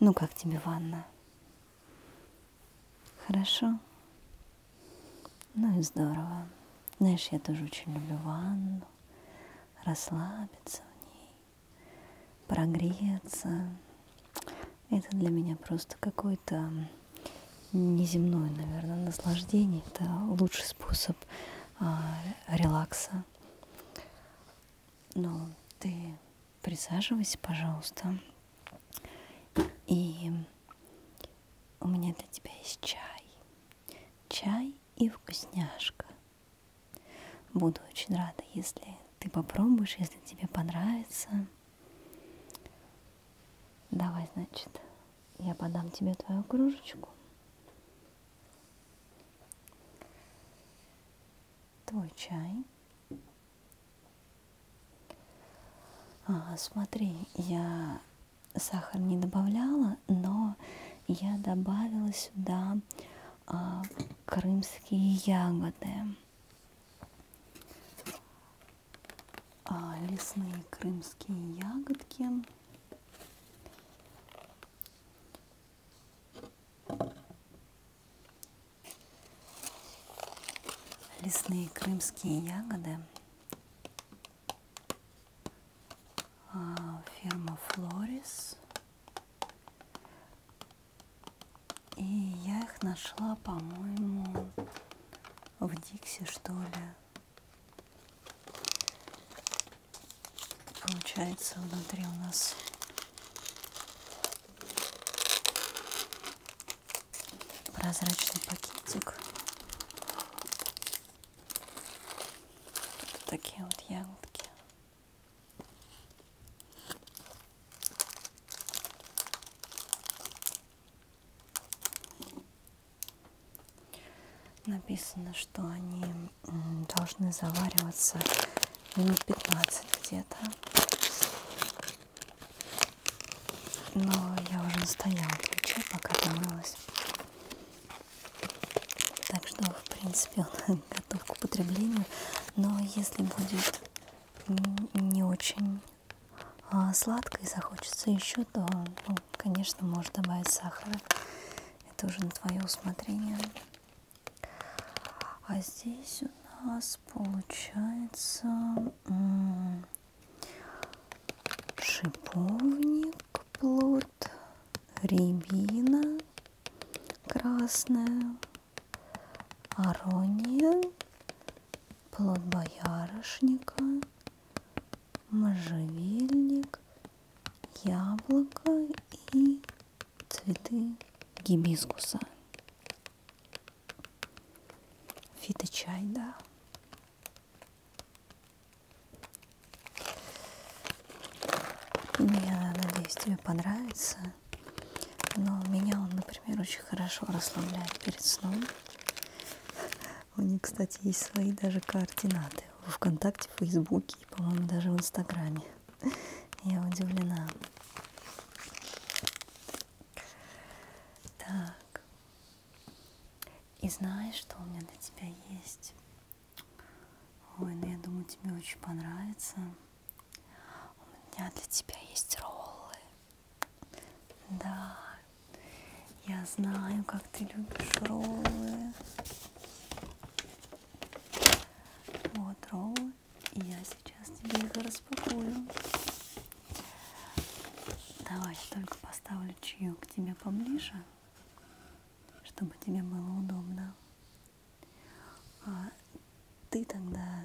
Ну как тебе ванна? Хорошо? Ну и здорово. Знаешь, я тоже очень люблю ванну. Расслабиться в ней, прогреться. Это для меня просто какой-то неземное, наверное, наслаждение. Это лучший способ а, релакса. Но ты присаживайся, пожалуйста. И у меня для тебя есть чай. Чай и вкусняшка. Буду очень рада, если ты попробуешь, если тебе понравится. Давай, значит, я подам тебе твою кружечку. Твой чай. А, смотри, я сахар не добавляла, но я добавила сюда а, крымские ягоды. А, лесные крымские ягодки. Лесные крымские ягоды. А, Фирма Флорис. И я их нашла, по-моему, в Дикси, что ли. Получается, внутри у нас прозрачный пакетик. Тут такие вот ягодки. Написано, что они должны завариваться минут 15 где-то. Но я уже настояла ключи, пока помылась. Так что, в принципе, он готов к употреблению. Но если будет не очень а сладко и захочется еще, то, ну, конечно, можешь добавить сахара. Это уже на твое усмотрение. А здесь у нас получается шиповник, плод, рябина красная, арония, плод боярышника, можжевельник, яблоко и цветы гибискуса. Фиточай, да. Я надеюсь, тебе понравится. Но меня он, например, очень хорошо расслабляет перед сном. У них, кстати, есть свои даже координаты в ВКонтакте, в Фейсбуке и, по-моему, даже в Инстаграме. Я удивлена. Так. И знаешь, что у меня для тебя есть? Ой, ну я думаю, тебе очень понравится. У меня для тебя есть роллы. Да, я знаю, как ты любишь роллы. Вот роллы, и я сейчас тебе их распакую. Давай только поставлю чаю к тебе поближе, чтобы тебе было удобно. А ты тогда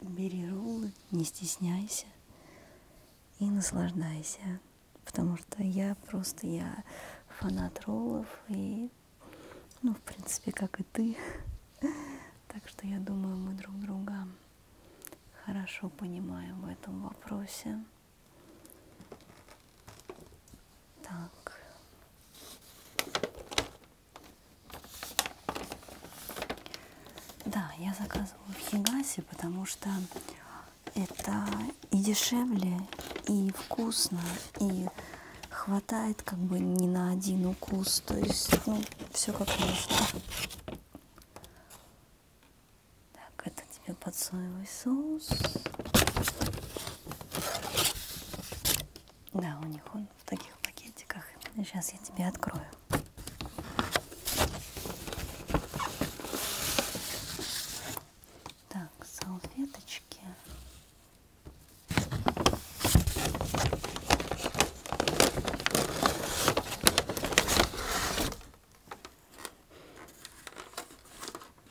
бери роллы, не стесняйся и наслаждайся потому что я просто, я фанат роллов и, ну, в принципе, как и ты. Так что я думаю, мы друг друга хорошо понимаем в этом вопросе. Так. Да, я заказывала в Хигасе, потому что это и дешевле, и вкусно, и хватает как бы не на один укус, то есть, ну, все как нужно. Так, это тебе под соевый соус. Да, у них он в таких пакетиках. Сейчас я тебе открою. Так, салфеточки.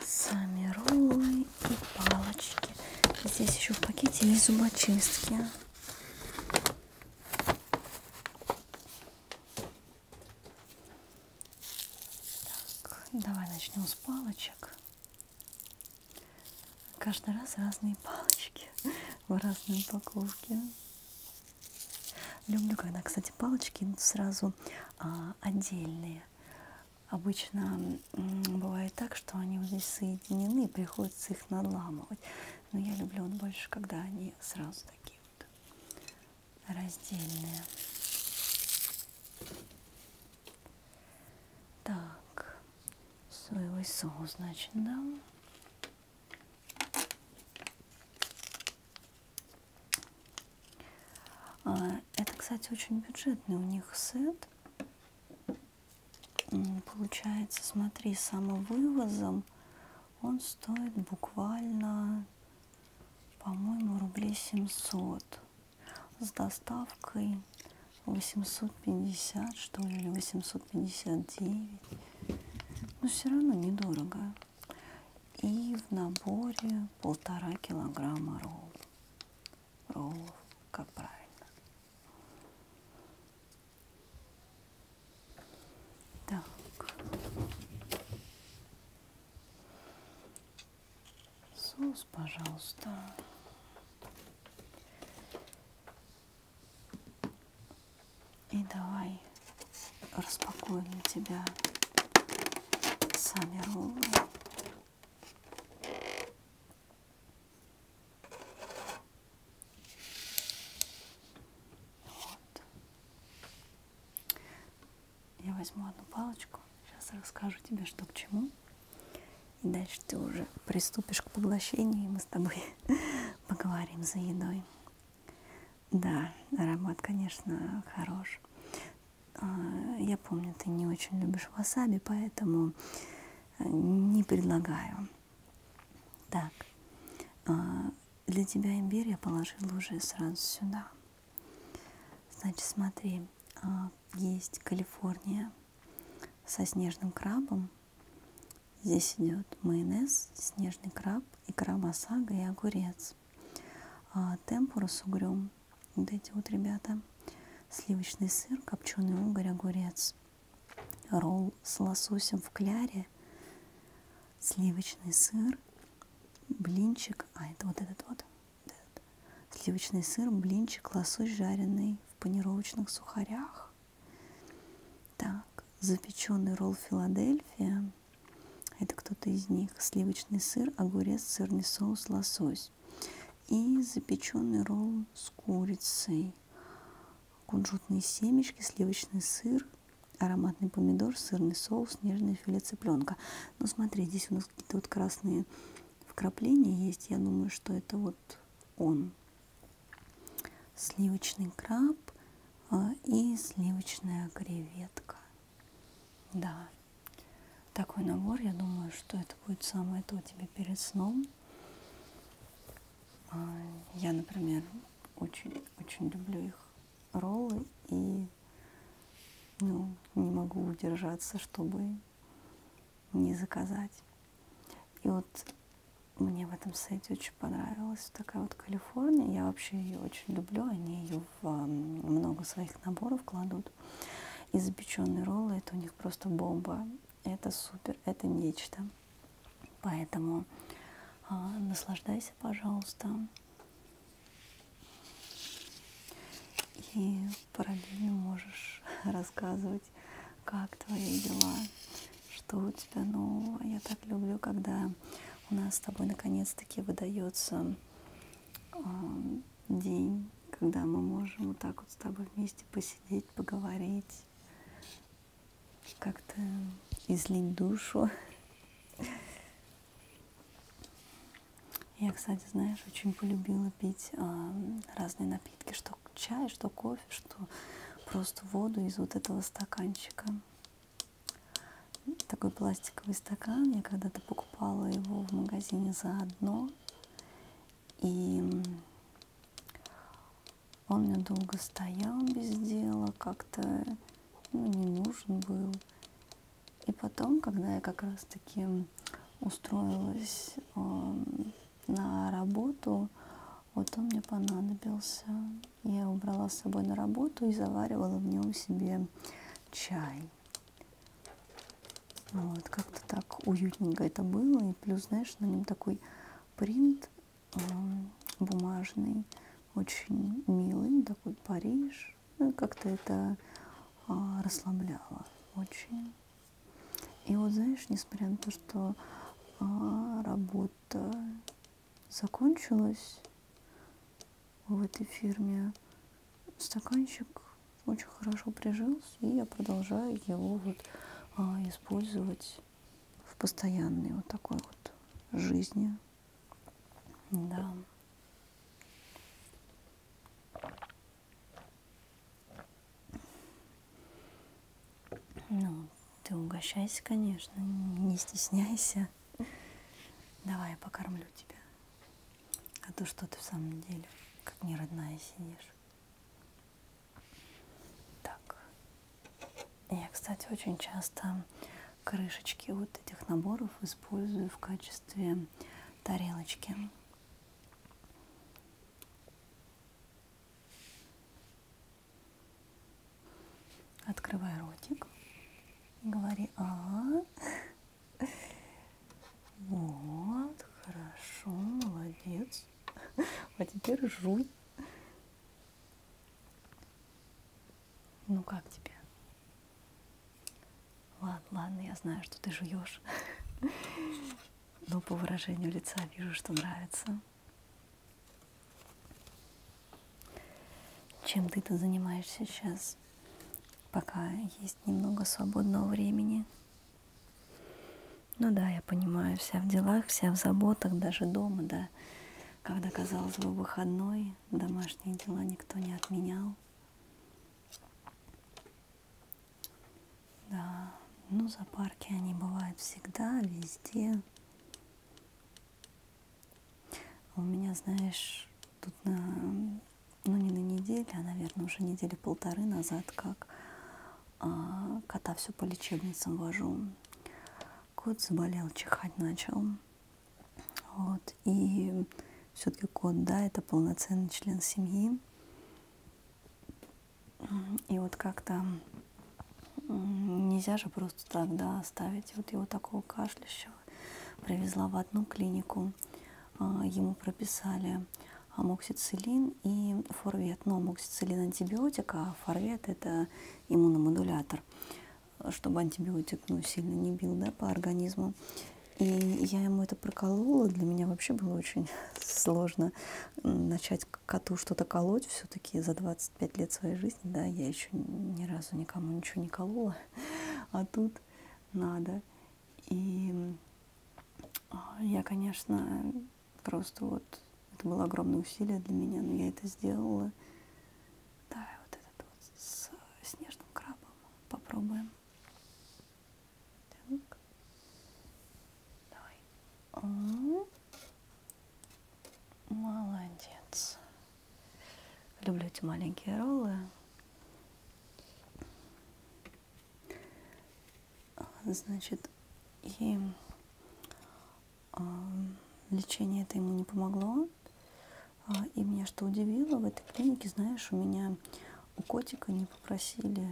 Сами роллы и палочки. Здесь еще в пакете есть зубочистки. Так, давай начнем с палочек. Каждый раз разные палочки в разной упаковке. Люблю, когда, кстати, палочки идут сразу а, отдельные. Обычно бывает так, что они вот здесь соединены, и приходится их надламывать. Но я люблю вот больше, когда они сразу такие вот раздельные. Так, соевый соус, значит, да? А, это, кстати, очень бюджетный у них сет. Получается, смотри, самовывозом он стоит буквально, по-моему, рублей 700 с доставкой 850, что ли, или 859. Но все равно недорого. И в наборе полтора килограмма ролл. Роллов, как правильно. Так. Соус, пожалуйста. И давай распакуем для тебя сами роллы. Вот. Я возьму одну палочку, сейчас расскажу тебе, что к чему. И дальше ты уже приступишь к поглощению, и мы с тобой поговорим за едой. Да, аромат, конечно, хорош. А, я помню, ты не очень любишь васаби, поэтому э, не предлагаю. Так, а, для тебя имбирь я положила уже сразу сюда. Значит, смотри, а, есть Калифорния со снежным крабом. Здесь идет майонез, снежный краб, икра масага и огурец. А, Темпура с угрем. Вот эти вот, ребята. Сливочный сыр, копченый угорь, огурец. Ролл с лососем в кляре сливочный сыр, блинчик, а это вот этот вот, вот этот. сливочный сыр, блинчик, лосось жареный в панировочных сухарях, так, запеченный ролл Филадельфия, это кто-то из них, сливочный сыр, огурец, сырный соус, лосось и запеченный ролл с курицей, кунжутные семечки, сливочный сыр, ароматный помидор, сырный соус, нежное филе цыпленка. Ну, смотри, здесь у нас какие-то вот красные вкрапления есть. Я думаю, что это вот он. Сливочный краб а, и сливочная креветка. Да, такой набор, я думаю, что это будет самое то тебе перед сном. А, я, например, очень-очень люблю их роллы и ну, не могу удержаться, чтобы не заказать. И вот мне в этом сайте очень понравилась такая вот Калифорния. Я вообще ее очень люблю. Они ее в много своих наборов кладут. И запеченные роллы, это у них просто бомба. Это супер, это нечто. Поэтому а, наслаждайся, пожалуйста. И параллельно можешь рассказывать, как твои дела, что у тебя нового. Я так люблю, когда у нас с тобой наконец-таки выдается э, день, когда мы можем вот так вот с тобой вместе посидеть, поговорить, как-то излить душу я, кстати, знаешь, очень полюбила пить а, разные напитки, что чай, что кофе, что просто воду из вот этого стаканчика. Такой пластиковый стакан. Я когда-то покупала его в магазине заодно. И он мне долго стоял без дела, как-то ну, не нужен был. И потом, когда я как раз-таки устроилась э, на работу, вот он мне понадобился. Я его брала с собой на работу и заваривала в нем себе чай. Вот, как-то так уютненько это было. И плюс, знаешь, на нем такой принт Э, бумажный, очень милый такой Париж. Ну и как-то это а, расслабляло очень. И вот знаешь, несмотря на то, что а, работа закончилась в этой фирме, стаканчик очень хорошо прижился, и я продолжаю его вот а, использовать в постоянной вот такой вот жизни. Да. Ну, ты угощайся, конечно, не стесняйся. Давай, я покормлю тебя. А то что ты в самом деле, как не родная сидишь. Так, я, кстати, очень часто крышечки вот этих наборов использую в качестве тарелочки. Открывай ротик. Говори а, -а, -а. Вот, хорошо, молодец. А теперь жуй. Ну как тебе? Ладно, ладно, я знаю, что ты жуешь. Но по выражению лица вижу, что нравится. Чем ты-то занимаешься сейчас, пока есть немного свободного времени? Ну да, я понимаю, вся в делах, вся в заботах, даже дома, да. Когда, казалось бы, выходной, домашние дела никто не отменял. Да, ну зоопарки они бывают всегда, везде. А у меня, знаешь, тут на, ну не на неделе, а, наверное, уже недели полторы назад, как а, кота все по лечебницам вожу. Кот заболел, чихать начал. Вот. И все-таки кот, да, это полноценный член семьи. И вот как-то нельзя же просто так, да, оставить. Вот его такого кашлящего привезла в одну клинику. А, ему прописали амоксициллин и форвет. Но ну, амоксициллин антибиотик, а форвет это иммуномодулятор чтобы антибиотик ну, сильно не бил да, по организму. И я ему это проколола. Для меня вообще было очень сложно начать коту что-то колоть. Все-таки за 25 лет своей жизни, да, я еще ни разу никому ничего не колола. А тут надо. И а, я, конечно, просто вот... Это было огромное усилие для меня, но я это сделала. Да, вот этот вот с снежным крабом попробуем. Так. Давай. О -о -о. Молодец. Люблю эти маленькие роллы. Значит, и лечение это ему не помогло. А, и меня что удивило, в этой клинике, знаешь, у меня у котика не попросили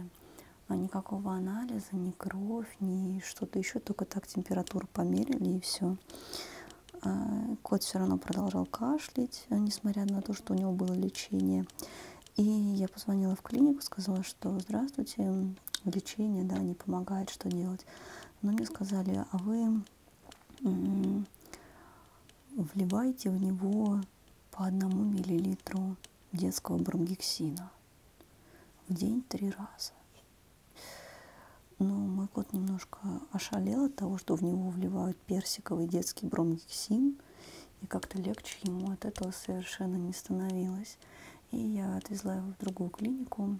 а, никакого анализа, ни кровь, ни что-то еще, только так температуру померили и все. А, кот все равно продолжал кашлять, э, несмотря на то, что у него было лечение. И я позвонила в клинику, сказала, что здравствуйте, лечение, да, не помогает, что делать. Но мне сказали, а вы вливайте в него по одному миллилитру детского бромгексина в день три раза. Но мой кот немножко ошалел от того, что в него вливают персиковый детский бромгексин, и как-то легче ему от этого совершенно не становилось. И я отвезла его в другую клинику,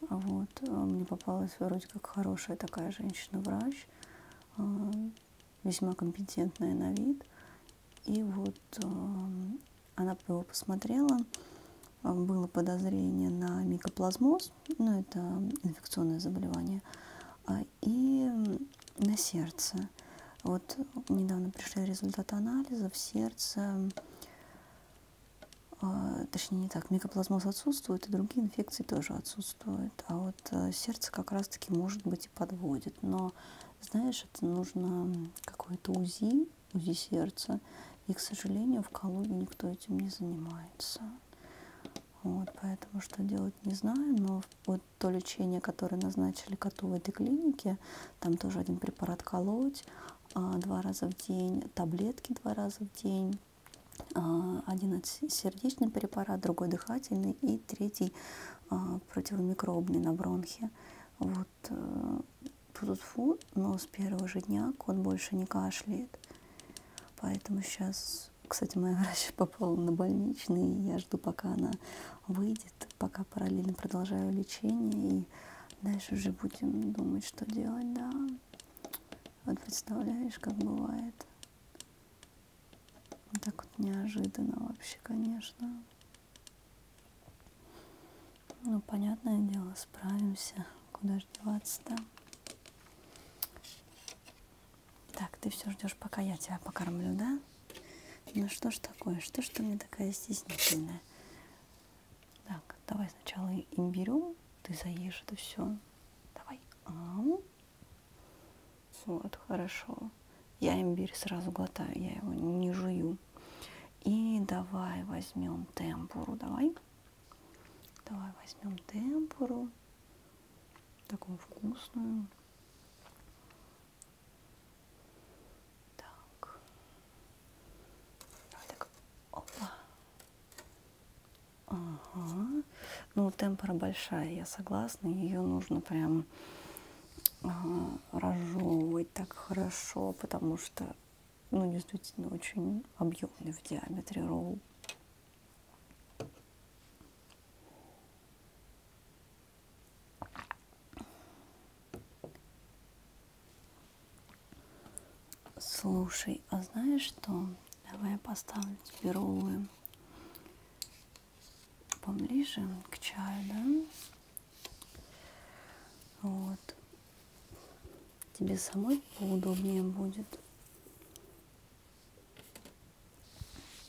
Инстаграм. Вот. Мне попалась вроде как хорошая такая женщина-врач, э, весьма компетентная на вид. И вот э, она его посмотрела, было подозрение на микоплазмоз, ну это инфекционное заболевание, а, и на сердце. Вот недавно пришли результаты анализов, сердце а, точнее не так, микоплазмоз отсутствует, и другие инфекции тоже отсутствуют. А вот э, сердце как раз-таки может быть и подводит. Но, знаешь, это нужно какое-то УЗИ, УЗИ сердца. И, к сожалению, в Калуге никто этим не занимается. Вот, поэтому что делать не знаю, но вот то лечение, которое назначили коту в этой клинике, там тоже один препарат колоть, а, два раза в день, таблетки два раза в день, а, один сердечный препарат, другой дыхательный и третий а, противомикробный на бронхе. Вот тут э, фу, но с первого же дня кот больше не кашляет. Поэтому сейчас, кстати, моя врач попала на больничный, и я жду, пока она выйдет, пока параллельно продолжаю лечение, и дальше уже будем думать, что делать, да. Вот представляешь, как бывает. Вот так вот неожиданно вообще, конечно. Ну, понятное дело, справимся. Куда же деваться-то? Так, ты все ждешь, пока я тебя покормлю, да? Ну что ж такое? Что ж ты мне такая стеснительная? Так, давай сначала имбирю, ты заешь это все. Давай. Ау. Вот, хорошо. Я имбирь сразу глотаю, я его не жую. И давай возьмем темпуру, давай. Давай возьмем темпуру. Такую вкусную. Так. Давай так. Опа. Ага. Ну, темпора большая, я согласна. Ее нужно прям ага, разжевывать так хорошо, потому что, ну, действительно, очень объемный в диаметре ролл. Слушай, а знаешь что? Давай я поставлю тебе роллы поближе к чаю, да? Вот. Тебе самой поудобнее будет.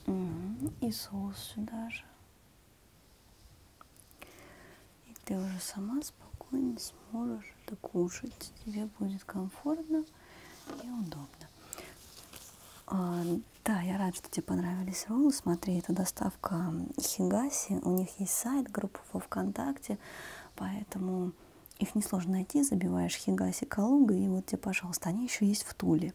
Угу. И соус сюда же. И ты уже сама спокойно сможешь что-то кушать, тебе будет комфортно и удобно. А, да, я рад, что тебе понравились роллы. Смотри, это доставка Хигаси. У них есть сайт, группа во ВКонтакте, поэтому их несложно найти. Забиваешь Хигаси Калуга, и вот тебе, пожалуйста, они еще есть в Туле.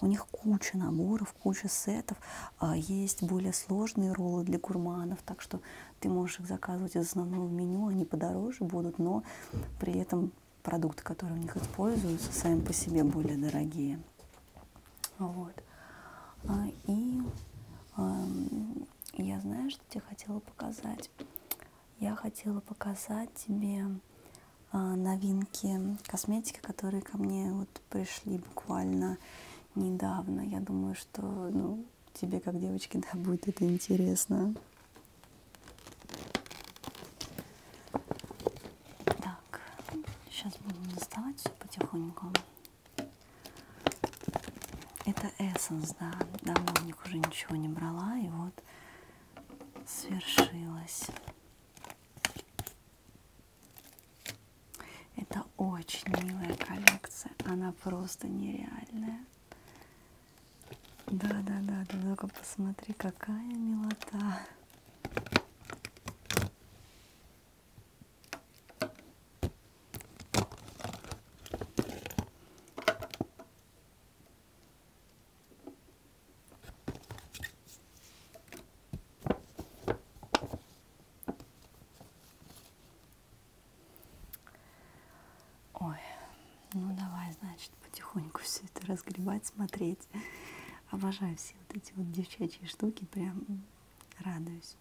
У них куча наборов, куча сетов, а, есть более сложные роллы для гурманов, так что ты можешь их заказывать из основного меню, они подороже будут, но при этом продукты, которые у них используются, сами по себе более дорогие. Вот. А, и я знаю, что тебе хотела показать. Я хотела показать тебе а, новинки косметики, которые ко мне вот пришли буквально недавно. Я думаю, что ну, тебе, как девочке, да, будет это интересно. Так, сейчас будем доставать все потихоньку. Это эссенс, да, давно в них уже ничего не брала, и вот свершилось. Это очень милая коллекция, она просто нереальная. Да, да, да, да, только посмотри, какая милота. Ой, ну давай, значит, потихоньку все это разгребать, смотреть. Обожаю все вот эти вот девчачьи штуки, прям радуюсь.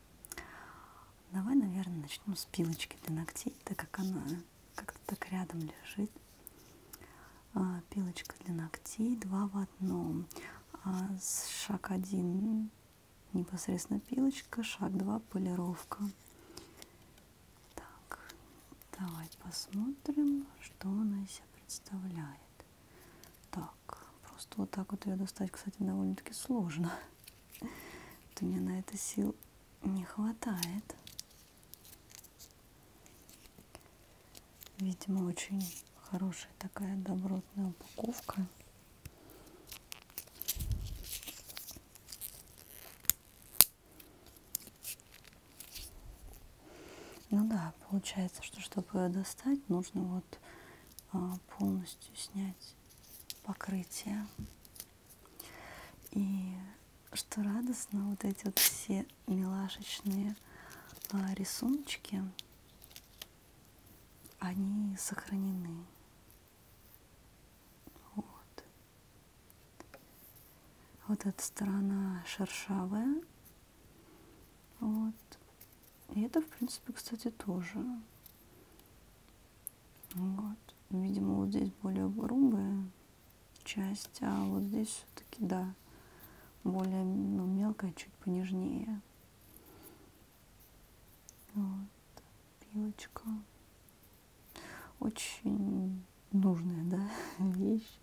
Давай, наверное, начну с пилочки для ногтей, так как она как-то так рядом лежит. А, пилочка для ногтей, два в одном. А, с шаг один непосредственно пилочка, шаг 2, полировка. Так, давайте посмотрим, что она из себя представляет. Так, просто вот так вот ее достать, кстати, довольно-таки сложно. Вот у меня на это сил не хватает. Видимо, очень хорошая такая добротная упаковка. Ну да, получается, что чтобы достать, нужно вот а, полностью снять покрытие. И что радостно, вот эти вот все милашечные а, рисуночки, они сохранены. Вот. Вот эта сторона шершавая. Вот. И это, в принципе, кстати, тоже. Вот. Видимо, вот здесь более грубая часть, а вот здесь все-таки, да, более ну, мелкая, чуть понежнее. Вот. Пилочка очень нужная да, вещь.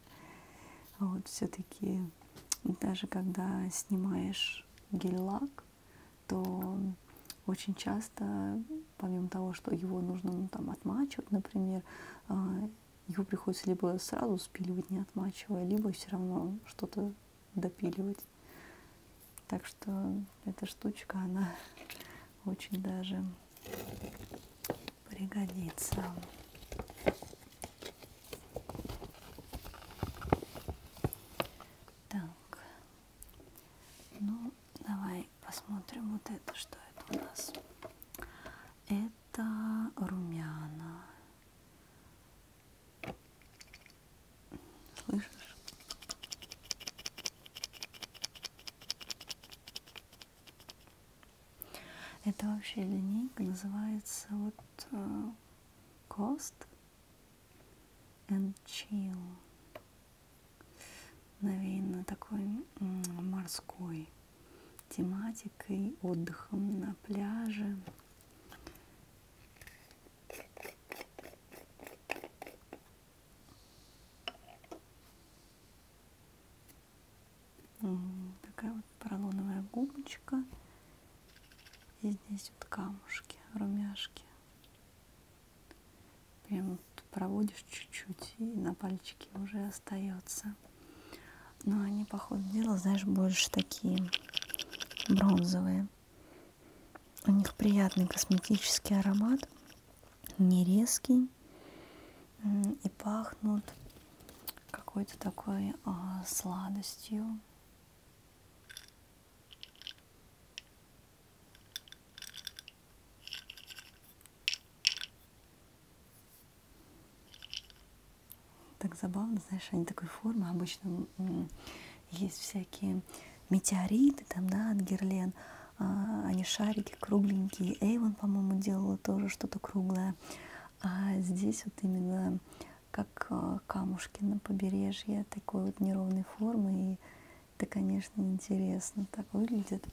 Вот все-таки даже когда снимаешь гель-лак, то очень часто, помимо того, что его нужно ну, там, отмачивать, например, а, его приходится либо сразу спиливать, не отмачивая, либо все равно что-то допиливать. Так что эта штучка, она очень даже пригодится. Так, ну давай посмотрим вот это, что это у нас. Это румяна. Слышишь? Это вообще линейка называется вот uh, Cost and Chill. Навеяно такой морской тематикой, отдыхом на пляже. Такая вот поролоновая губочка. И здесь вот камушки, румяшки. Прям вот проводишь чуть-чуть, и на пальчике уже остается. Но они, по ходу дела, знаешь, больше такие бронзовые. У них приятный косметический аромат, не резкий, и пахнут какой-то такой а, сладостью. Так забавно, знаешь, они такой формы обычно есть всякие метеориты, там, да, от Герлен, а, они шарики кругленькие, Эйвон, по-моему, делала тоже что-то круглое, а здесь вот именно как а, камушки на побережье такой вот неровной формы, и это, конечно, интересно так выглядит.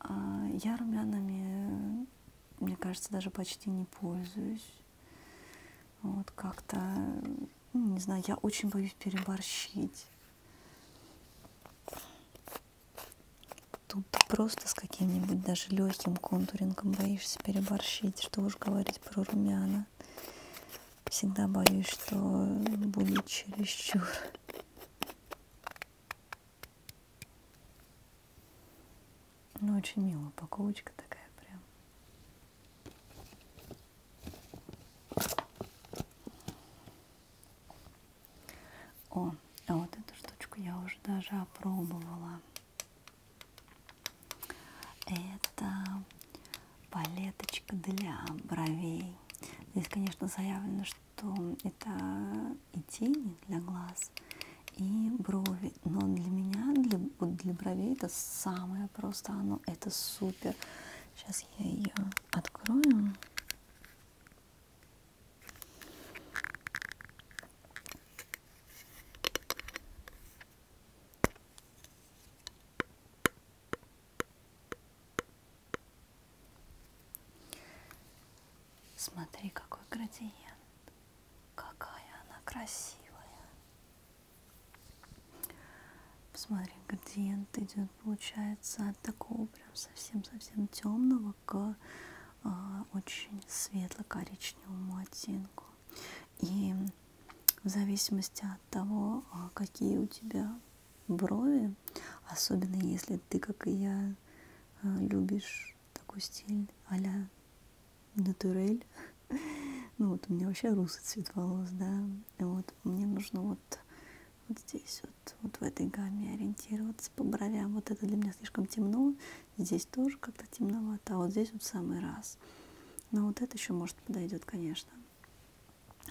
А я румянами, мне кажется, даже почти не пользуюсь. Вот как-то, ну, не знаю, я очень боюсь переборщить. Тут ты просто с каким-нибудь даже легким контурингом боишься переборщить, что уж говорить про румяна. Всегда боюсь, что будет чересчур. Ну, очень милая упаковочка такая прям. О, а вот эту штучку я уже даже опробовала. Это палеточка для бровей. Здесь, конечно, заявлено, что это и тени для глаз, и брови. Но для меня, для, для бровей это самое просто, оно это супер. Сейчас я ее открою. Смотри, какой градиент. Какая она красивая. Посмотри, градиент идет, получается, от такого прям совсем-совсем темного к э, очень светло-коричневому оттенку. И в зависимости от того, а, какие у тебя брови, особенно если ты, как и я, а, любишь такой стиль а-ля натурель, ну вот у меня вообще русый цвет волос, да, вот мне нужно вот вот здесь вот, вот в этой гамме ориентироваться по бровям. Вот это для меня слишком темно, здесь тоже как-то темновато, а вот здесь вот самый раз. Но вот это еще может подойдет, конечно.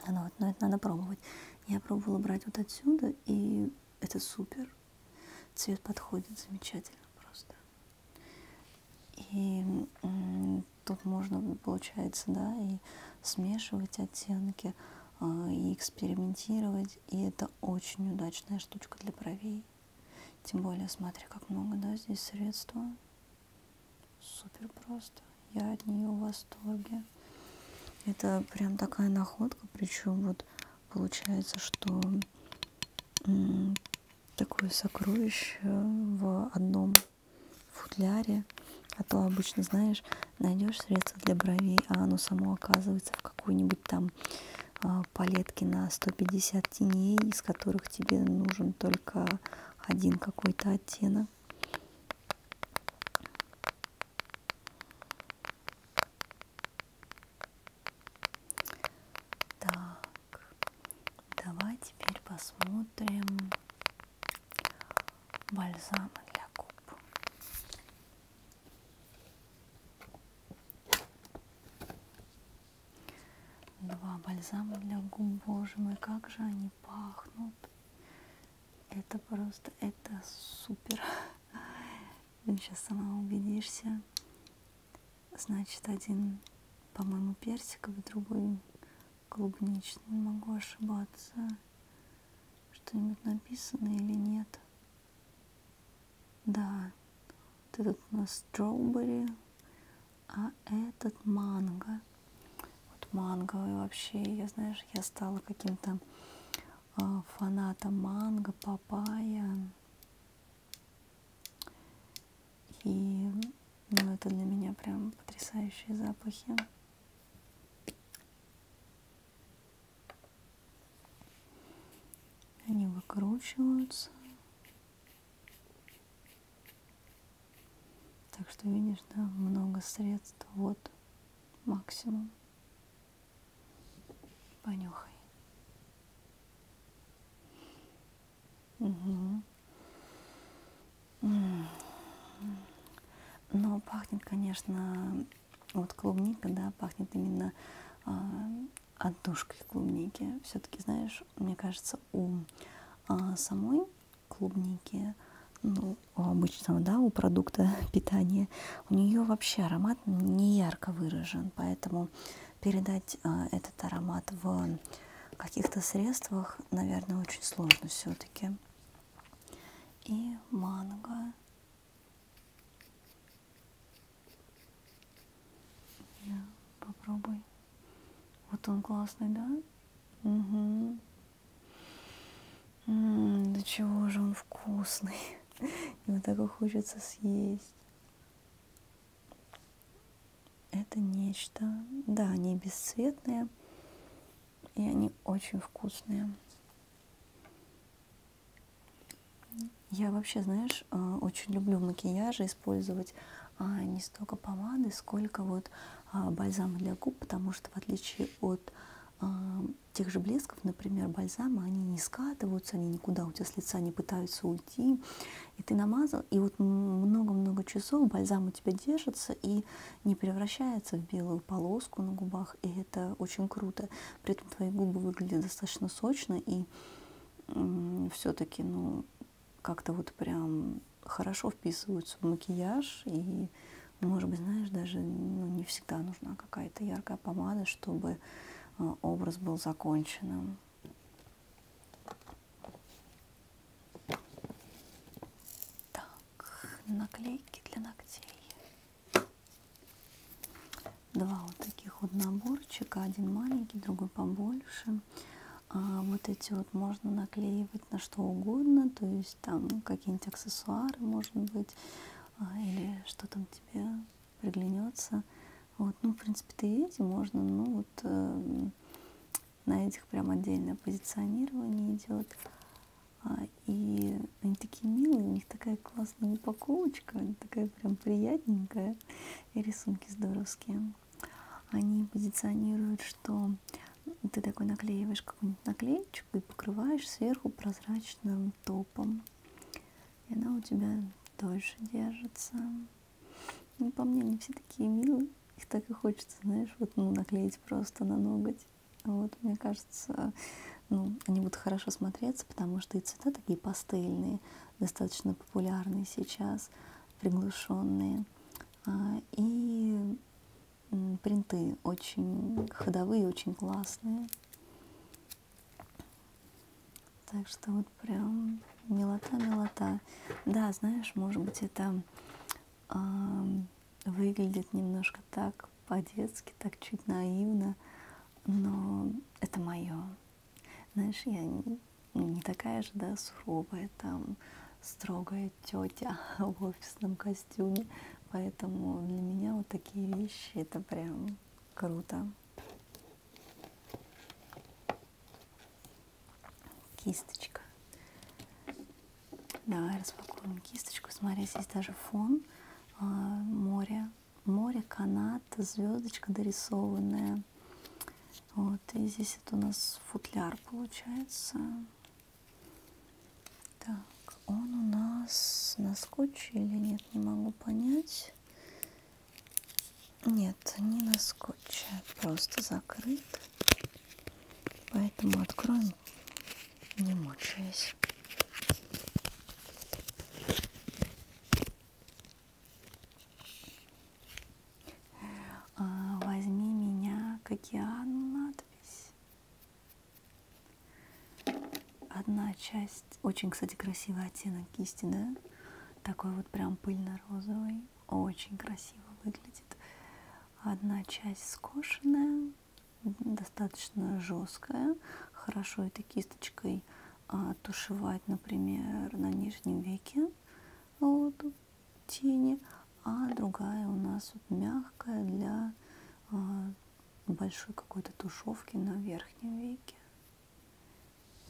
Но, ну вот, но это надо пробовать. Я пробовала брать вот отсюда, и это супер. Цвет подходит замечательно просто. И тут можно, получается, да, и смешивать оттенки, а, и экспериментировать, и это очень удачная штучка для бровей. Тем более, смотри, как много, да, здесь средства. Супер просто. Я от нее в восторге. Это прям такая находка, причем вот получается, что такое сокровище в одном футляре, а то обычно, знаешь, найдешь средство для бровей, а оно само оказывается в какой-нибудь там а, палетки на 150 теней, из которых тебе нужен только один какой-то оттенок. Так, давай теперь посмотрим бальзамы для губ. Два бальзама для губ, боже мой, как же они пахнут. Это просто, это супер. Ну, сейчас сама убедишься. Значит, один, по-моему, персиковый, другой клубничный, могу ошибаться. Что-нибудь написано или нет? Да, вот этот у нас строубери, а этот манго. Вот манговый вообще, я, знаешь, я стала каким-то э, фанатом манго, папая. И ну, это для меня прям потрясающие запахи. Они выкручиваются. Так что видишь, да, много средств. Вот максимум. Понюхай. Угу. Но пахнет, конечно, вот клубника, да, пахнет именно э, отдушкой клубники. Все-таки, знаешь, мне кажется, у э, самой клубники, ну, у обычного, да, у продукта питания, у нее вообще аромат не ярко выражен, поэтому передать э, этот аромат в каких-то средствах, наверное, очень сложно все-таки и манго. Да, попробуй. Вот он классный, да? Угу. М-м, да чего же он вкусный. Его так и хочется съесть. Это нечто, да, они бесцветные, и они очень вкусные. Я вообще, знаешь, э, очень люблю макияжи использовать а не столько помады, сколько вот а, бальзама для губ, потому что в отличие от а, тех же блесков, например, бальзама, они не скатываются, они никуда у тебя с лица не пытаются уйти. И ты намазал, и вот много-много часов бальзам у тебя держится, и не превращается в белую полоску на губах, и это очень круто. При этом твои губы выглядят достаточно сочно, и все-таки, ну, как-то вот прям хорошо вписываются в макияж, и, ну, может быть, знаешь, даже ну, не всегда нужна какая-то яркая помада, чтобы э, образ был законченным. Так, наклейки для ногтей. Два вот таких вот наборчика, один маленький, другой побольше. А вот эти вот можно наклеивать на что угодно, то есть там какие-нибудь аксессуары, может быть, а, или что там тебе приглянется. Вот, ну, в принципе, ты эти можно, ну, вот, э, на этих прям отдельное позиционирование идет. А, и они такие милые, у них такая классная упаковочка, такая прям приятненькая. И рисунки здоровские. Они позиционируют, что ты такой наклеиваешь какую-нибудь наклеечку и покрываешь сверху прозрачным топом. И она у тебя дольше держится. Ну, по мне, они все такие милые. Их так и хочется, знаешь, вот ну, наклеить просто на ноготь. Вот, мне кажется, ну, они будут хорошо смотреться, потому что и цвета такие пастельные, достаточно популярные сейчас, приглушенные. А, и принты очень ходовые, очень классные. Так что вот прям милота-милота. Да, знаешь, может быть, это выглядит немножко так по-детски, так чуть наивно, но это мое. Знаешь, я не, не такая же, да, суровая, там, строгая тетя в офисном костюме, поэтому для меня вот такие вещи, это прям круто. Кисточка. Давай распакуем кисточку. Смотри, здесь даже фон а, море. Море, канат, звездочка дорисованная. Вот, и здесь это у нас футляр получается. Так, он у нас на скотче или нет, не могу понять. Нет, не на скотче, просто закрыт. Поэтому откроем, не мучаясь. А, возьми меня к океану надпись. Одна часть, очень, кстати, красивый оттенок кисти, да? Такой вот прям пыльно-розовый. Очень красиво выглядит. Одна часть скошенная, достаточно жесткая. Хорошо этой кисточкой а, тушевать, например, на нижнем веке вот, тени. А другая у нас вот мягкая для а, большой какой-то тушевки на верхнем веке.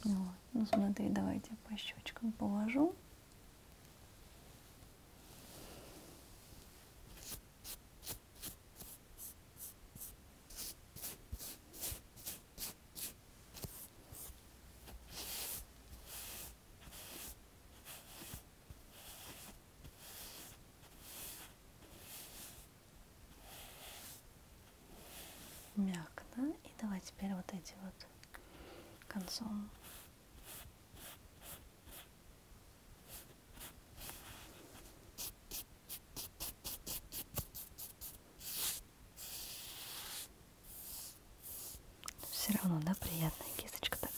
Вот. Ну смотри, давайте по щечкам положу мягко, да? И давай теперь вот эти вот концом все равно, да, приятная кисточка такая.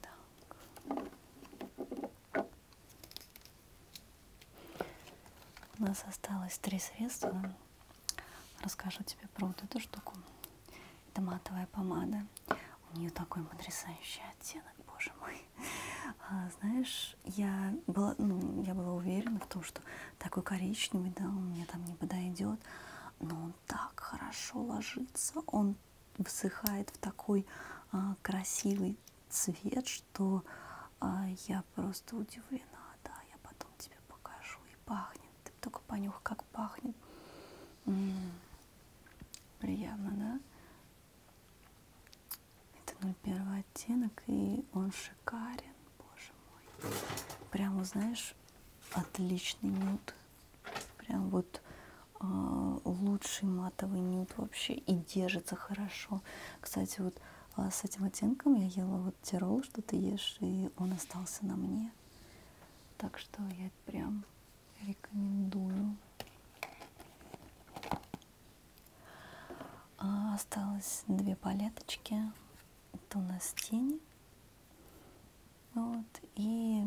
Так. У нас осталось три средства. Расскажу тебе про вот эту штуку. Это матовая помада. У нее такой потрясающий оттенок, боже мой. А, знаешь, я была, ну, я была уверена в том, что такой коричневый, да, он мне там не подойдет, но он так хорошо ложится, он высыхает в такой а, красивый цвет, что а, я просто удивлена. Да, я потом тебе покажу. И пахнет. Ты только понюх, как пахнет. М -м -м. Приятно, да? Это 01 оттенок, и он шикарен, боже мой. Прямо, знаешь, отличный нюд. Прям вот а, лучший матовый нюд вообще и держится хорошо. Кстати, вот а, с этим оттенком я ела вот тирол, что ты ешь, и он остался на мне. Так что я прям рекомендую. А осталось две палеточки. Это у нас тени. Вот. И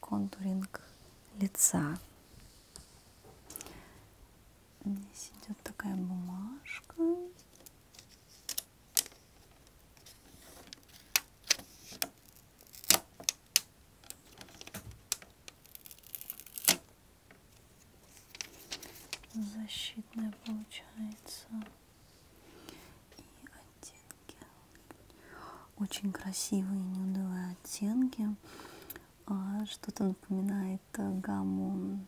контуринг лица. Здесь идет такая бумажка. Защитная получается и оттенки. Очень красивые нюдовые оттенки. А, что-то напоминает э, гамму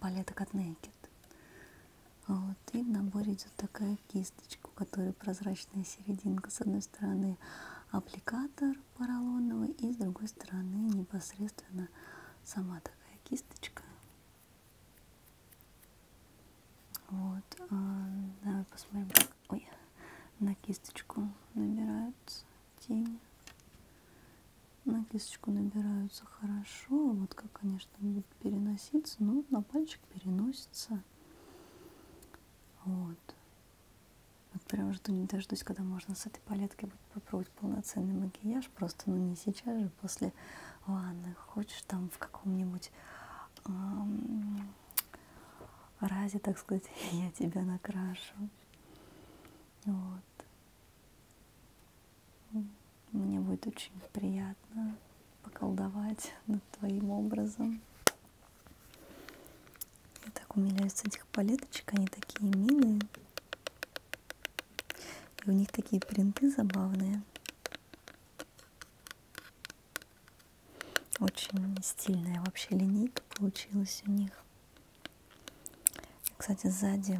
палеток от Naked. А вот. И в наборе идет такая кисточка, у которой прозрачная серединка. С одной стороны аппликатор поролоновый и с другой стороны непосредственно сама такая кисточка вот, а, давай посмотрим, как Ой, на кисточку набираются тени. На кисточку набираются хорошо, вот как, конечно, будет переноситься, но на пальчик переносится. Вот. Вот прям жду не дождусь, когда можно с этой палеткой будет попробовать полноценный макияж, просто, ну не сейчас же, после Ладно, хочешь там в каком-нибудь э разе, так сказать, я тебя накрашу. Вот. Мне будет очень приятно поколдовать над твоим образом. Я так умиляюсь с этих палеточек, они такие милые. И у них такие принты забавные. Очень стильная вообще линейка получилась у них. Кстати, сзади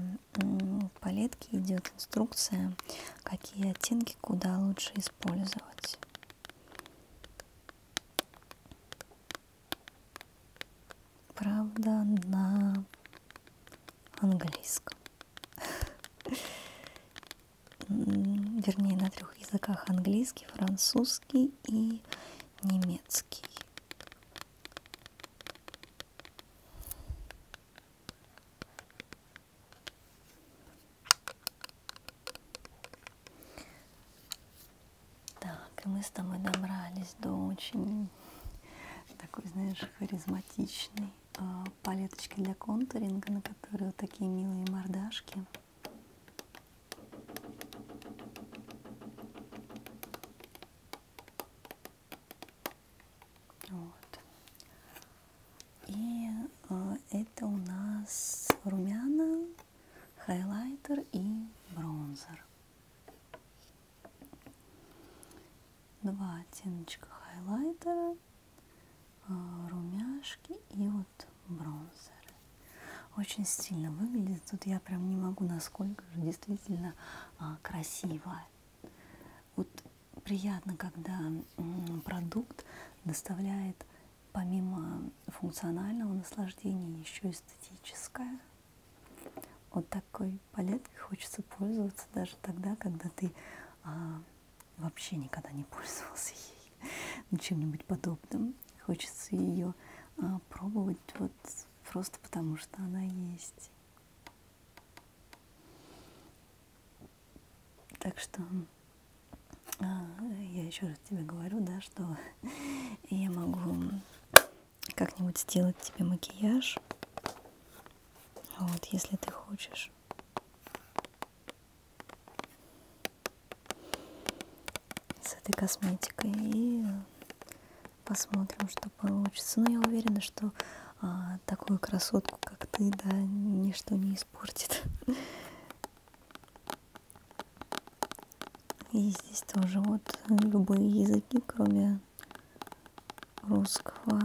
палетки идет инструкция, какие оттенки куда лучше использовать. Правда, на английском. вернее, на трех языках английский, французский и немецкий. Так, и мы с тобой добрались до очень такой, знаешь, харизматичной Э, палеточки для контуринга, на которые вот такие милые мордашки. Вот. И э, это у нас румяна, хайлайтер и бронзер. Два оттеночка хайлайтера Э, румяшки и вот бронзеры. Очень стильно выглядит. Тут я прям не могу, насколько же действительно а, красиво. Вот приятно, когда продукт доставляет помимо функционального наслаждения еще эстетическое. Вот такой палеткой хочется пользоваться даже тогда, когда ты а, вообще никогда не пользовался ей, ну, чем-нибудь подобным. Хочется ее а, пробовать вот просто потому, что она есть. Так что а, я еще раз тебе говорю, да, что я могу как-нибудь сделать тебе макияж, вот, если ты хочешь с этой косметикой и э, посмотрим, что получится. Но ну, я уверена, что а, такую красотку, как ты, да, ничто не испортит. И здесь тоже вот любые языки, кроме русского.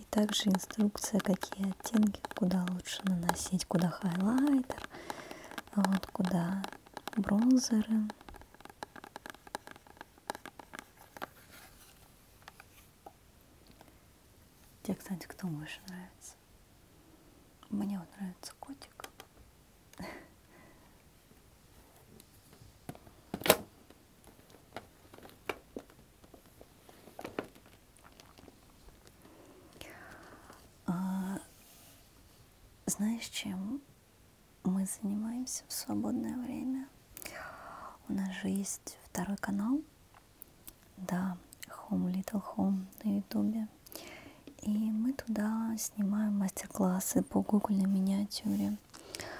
И также инструкция, какие оттенки, куда лучше наносить, куда хайлайтер, а вот куда бронзеры. Тебе, кстати, кто больше нравится? Мне вот нравится котик. А, знаешь, чем мы занимаемся в свободное время? У нас же есть второй канал, да, Home Little Home на ютубе. И мы туда снимаем мастер-классы по кукольной миниатюре. Ольга.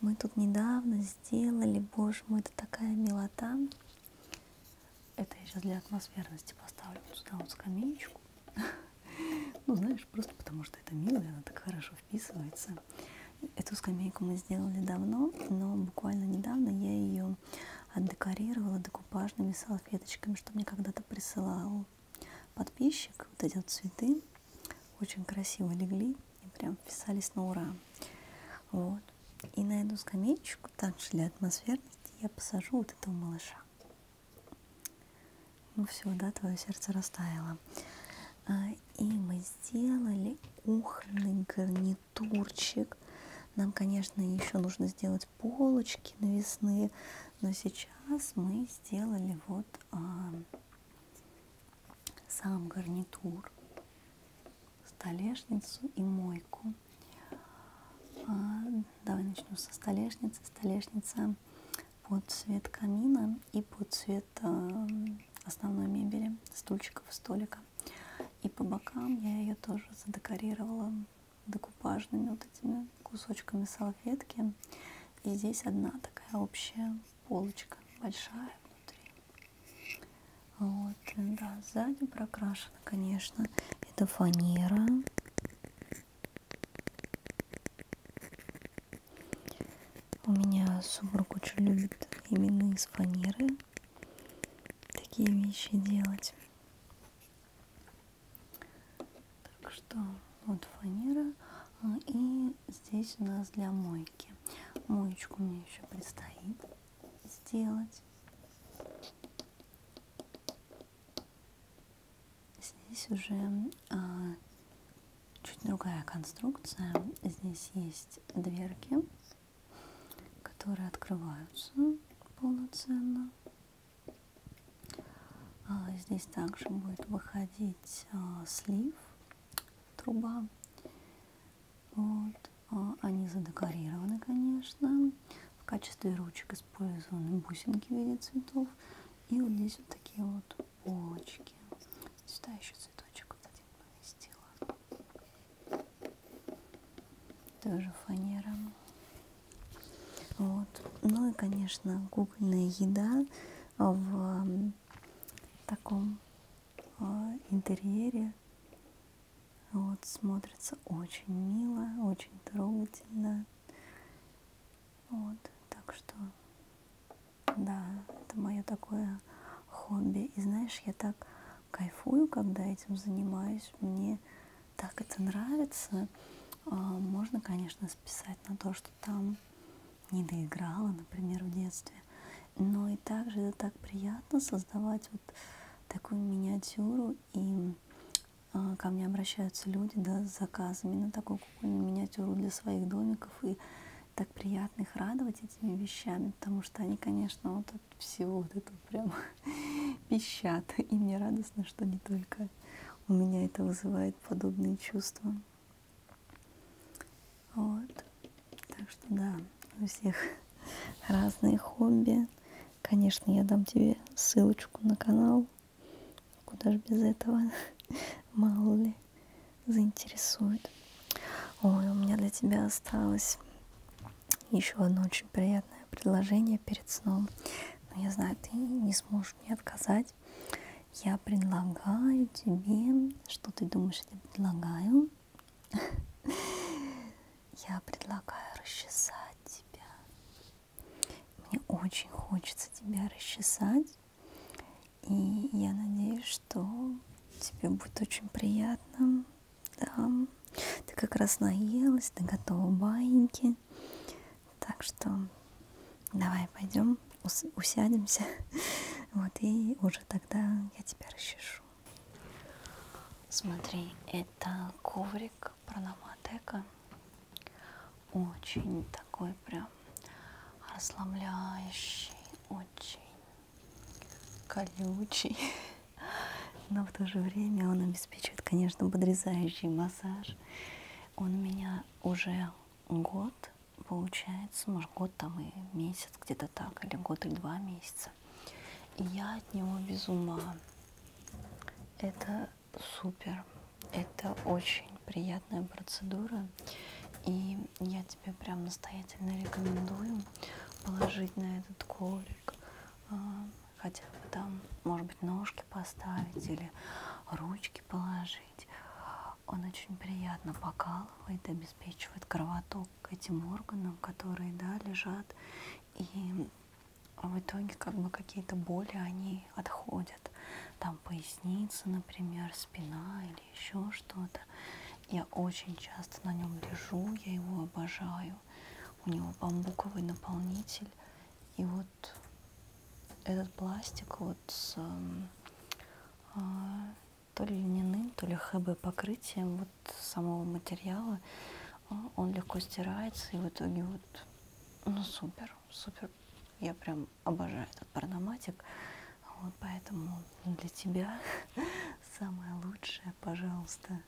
Мы тут недавно сделали, боже мой, это такая милота. Это я сейчас для атмосферности поставлю сюда вот скамеечку. Ну, знаешь, просто потому что это мило, и она так хорошо вписывается. Эту скамейку мы сделали давно, но буквально недавно я ее отдекорировала декупажными салфеточками, что мне когда-то присылал подписчик, вот эти вот цветы. Очень красиво легли и прям вписались на ура. Вот. И на эту скамеечку, также для атмосферности, я посажу вот этого малыша. Ну все, да, твое сердце растаяло. А, и мы сделали кухонный гарнитурчик. Нам, конечно, еще нужно сделать полочки навесные, но сейчас мы сделали вот а, сам гарнитур, столешницу и мойку. А, давай начну со столешницы. Столешница под цвет камина и под цвет э, основной мебели, стульчиков, столика. И по бокам я ее тоже задекорировала декупажными вот этими кусочками салфетки. И здесь одна такая общая полочка большая внутри. Вот, да, сзади прокрашена, конечно. Это фанера. У меня супруг очень любит именно из фанеры такие вещи делать. Так что вот фанера а, и здесь у нас для мойки. Моечку мне еще предстоит сделать. Здесь уже а, чуть другая конструкция. Здесь есть дверки, которые открываются полноценно. А, здесь также будет выходить а, слив труба. Вот. А, они задекорированы, конечно. В качестве ручек использованы бусинки в виде цветов. И вот здесь вот такие вот полочки. Сюда еще цветочек вот один поместила. Тоже фанера. Вот. Ну и, конечно, кукольная еда в таком а, интерьере. Вот, смотрится очень мило, очень трогательно. Вот, так что, да, это мое такое хобби. И знаешь, я так кайфую, когда этим занимаюсь. Мне так это нравится. А, можно, конечно, списать на то, что что там не доиграла, например, в детстве. Но и также это так приятно создавать вот такую миниатюру, и э, ко мне обращаются люди да, с заказами на такую кукольную миниатюру для своих домиков, и так приятно их радовать этими вещами, потому что они, конечно, вот от всего вот этого прям пищат, и мне радостно, что не только у меня это вызывает подобные чувства. Вот. Так что да, у всех разные хобби. Конечно, я дам тебе ссылочку на канал. Куда же без этого? Мало ли заинтересует. Ой, у меня для тебя осталось еще одно очень приятное предложение перед сном. Но я знаю, ты не сможешь мне отказать. Я предлагаю тебе, что ты думаешь, я предлагаю? Я предлагаю расчесать тебя. Мне очень хочется тебя расчесать. И я надеюсь, что тебе будет очень приятно. Да. Ты как раз наелась, ты готова баиньки. Так что Давай пойдем, усядемся. Вот, и уже тогда я тебя расчешу. Смотри, это коврик Пранаматека. Очень такой прям расслабляющий, очень колючий. Но в то же время он обеспечивает, конечно, подрезающий массаж. Он у меня уже год получается, может, год там и месяц, где-то так, или год или два месяца. И я от него без ума. Это супер. Это очень приятная процедура. И я тебе прям настоятельно рекомендую положить на этот колик а, хотя бы там, может быть, ножки поставить или ручки ложечки положить. Он очень приятно покалывает, обеспечивает кровоток к этим органам, которые да, лежат. И в итоге как бы какие-то боли, они отходят. Там поясница, например, спина или еще что-то. Я очень часто на нем лежу, я его обожаю. У него бамбуковый наполнитель. И вот этот пластик вот с эм, а, то ли льняным, то ли ХБ покрытием вот самого материала. А, он легко стирается, и в итоге вот, ну, супер, супер. Я прям обожаю этот парноматик. Вот поэтому для тебя самое лучшее, пожалуйста,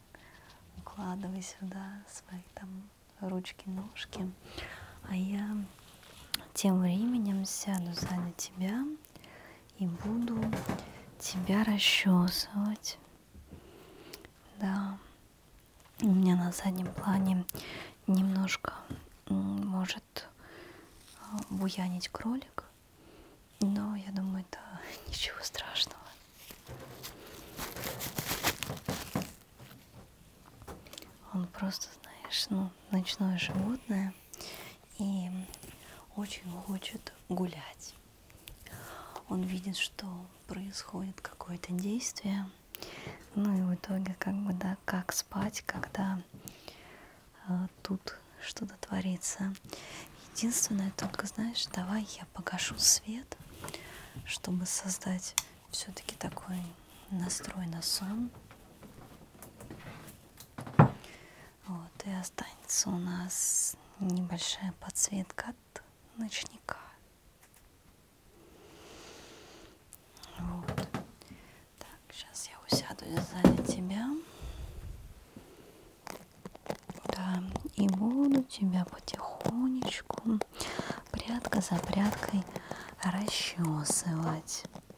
укладывай сюда свои там ручки, ножки. А я тем временем сяду сзади тебя и буду тебя расчесывать. Да, у меня на заднем плане немножко может а, буянить кролик, но я думаю, это ничего страшного. Он просто, знаешь, ну, ночное животное и очень хочет гулять. Он видит, что происходит какое-то действие, ну и в итоге как бы да, как спать, когда э, тут что-то творится. Единственное только, знаешь, давай я погашу свет, чтобы создать все-таки такой настрой на сон. Вот, и останется у нас небольшая подсветка от ночника. Вот. Так, сейчас я усяду сзади тебя. Да, и буду тебя потихонечку прядка за прядкой расчесывать.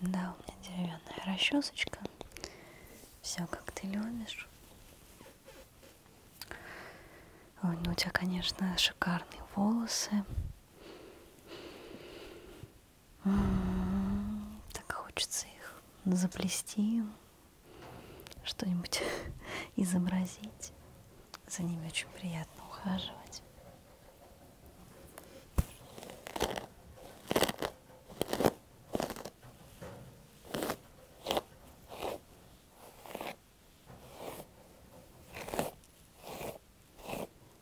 Да, у меня деревянная расчесочка. Все как ты любишь. Ой, ну у тебя, конечно, шикарные волосы. Так хочется их заплести, что-нибудь изобразить. За ними очень приятно ухаживать.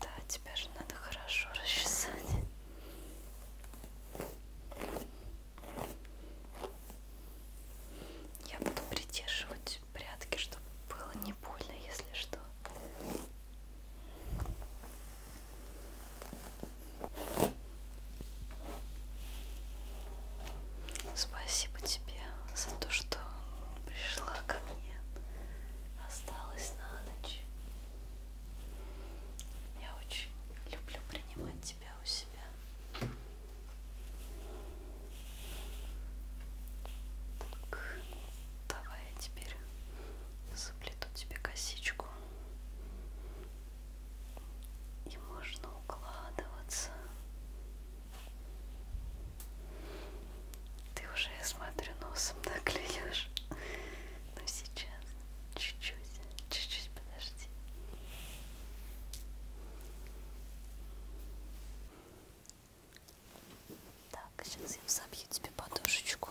Да, тебя же надо хорошо расчесать. Я буду придерживать прятки, чтобы было не больно, если что. Спасибо тебе за то, что пришла ко мне, осталась на ночь. Я очень люблю принимать тебя у себя. Так, давай я теперь заплету тебе косичку. И можно укладываться. Ты уже, я смотрю, носом наклюешь. Но ну, сейчас чуть-чуть, чуть-чуть подожди. Так, сейчас я забью тебе подушечку.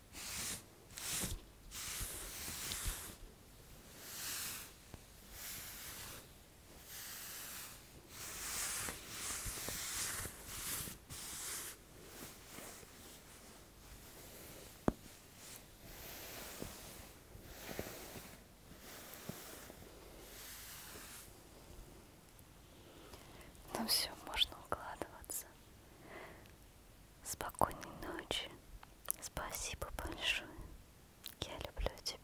Ну все, можно укладываться. Спокойной ночи. Спасибо большое. Я люблю тебя.